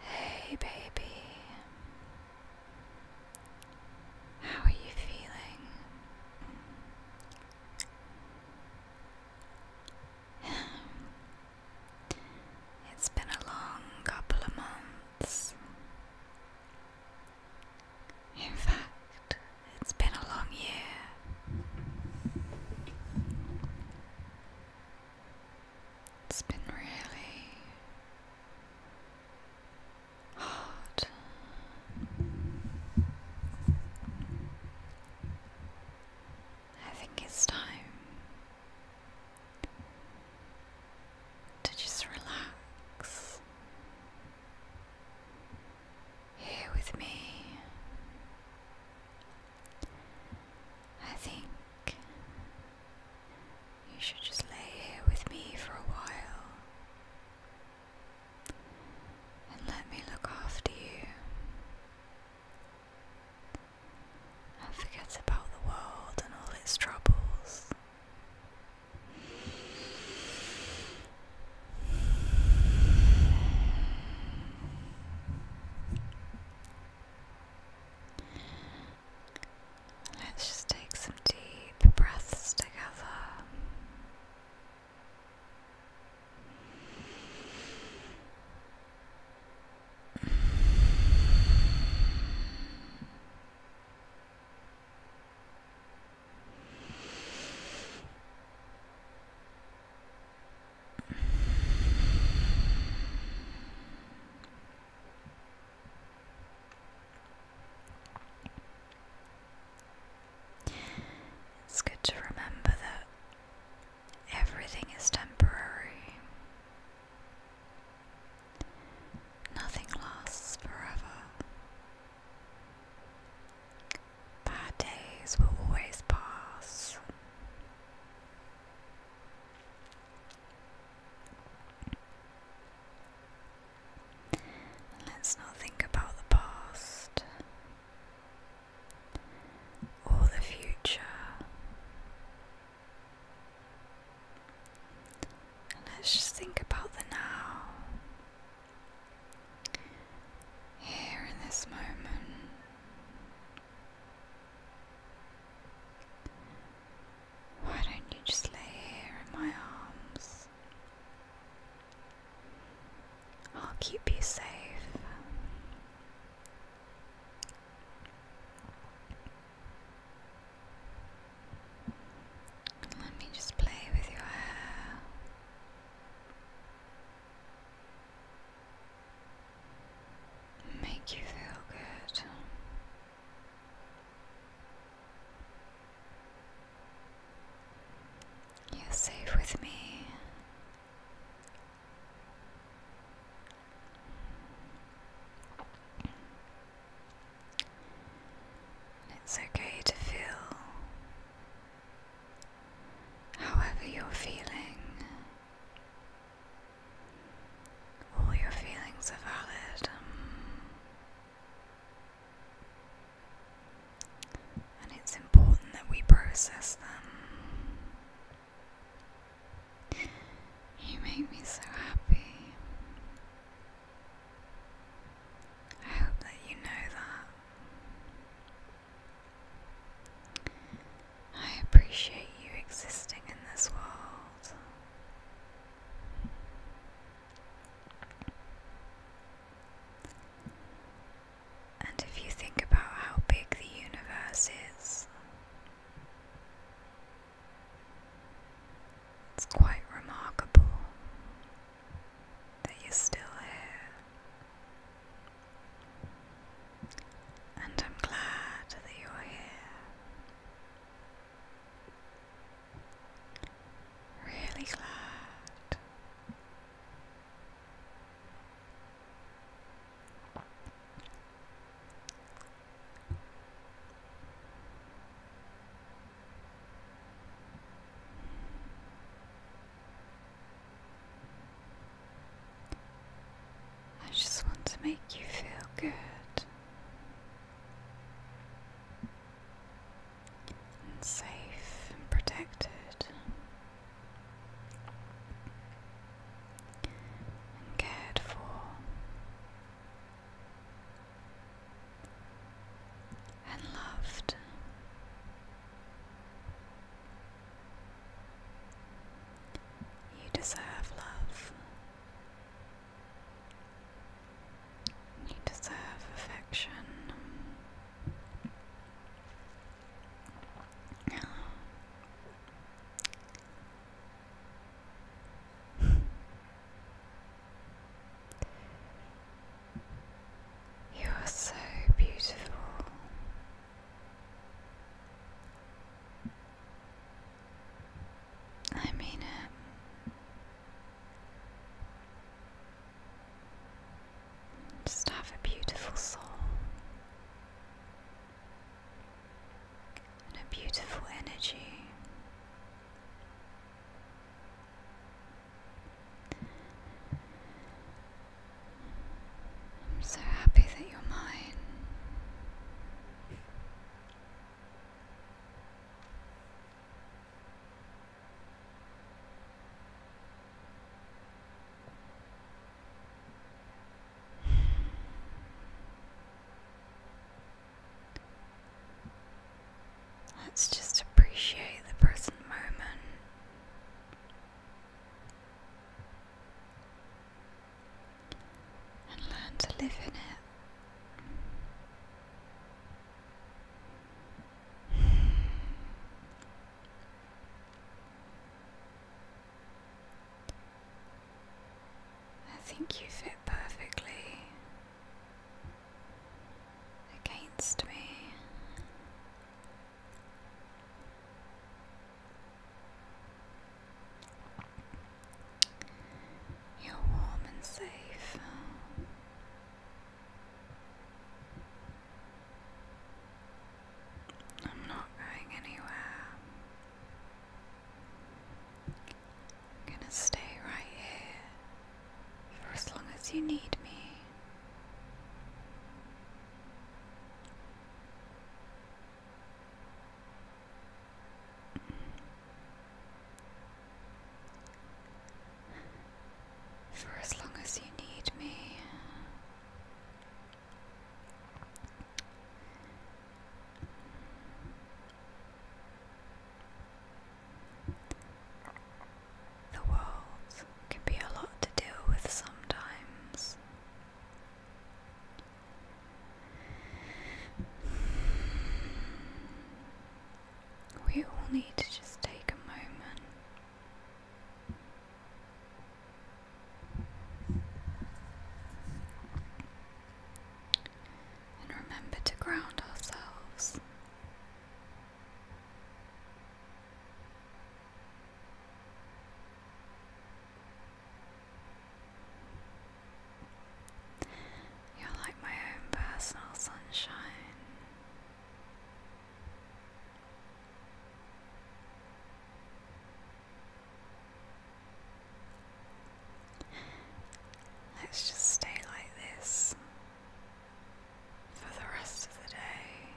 Hey, baby. How are you feeling? it's been a long couple of months. In fact, it's been a long year. It's been really hard. I think it's time to just relax here with me I think you should just lay here with me for a while and let me look after you. And forget about the world and all its troubles. Let's just take some deep breaths together. It's good to remember that everything is temporary. Nothing lasts forever. Bad days will always pass let's not think about the past or the future. let's just think about the now. Here in this moment, why don't you just lay here in my arms? I'll keep you safe. Let me just play with your hair make you feel good. You're safe with me. it's okay to feel however you're feeling. All your feelings are valid. and it's important that we process them. You make me so happy. I hope that you know that. I appreciate you existing in this world. And if you think about how big the universe is, it's quite remarkable that you're still here. And I'm glad that you're here. Really glad. I just want to make you feel good and safe and protected and cared for. And loved. You deserve love. You deserve affection. You are so beautiful. I mean it. Just have a beautiful soul and a beautiful energy. I'm so happy that you're mine. Let's just appreciate the present moment and learn to live in it. I think you fit perfectly against me. You're warm and safe. I'm not going anywhere. gonna stay right here for as long as you need me. For as long as you need me. The world can be a lot to deal with sometimes. We all need to just take a moment. And remember to ground ourselves. You're like my own personal sunshine. Let's just stay like this for the rest of the day.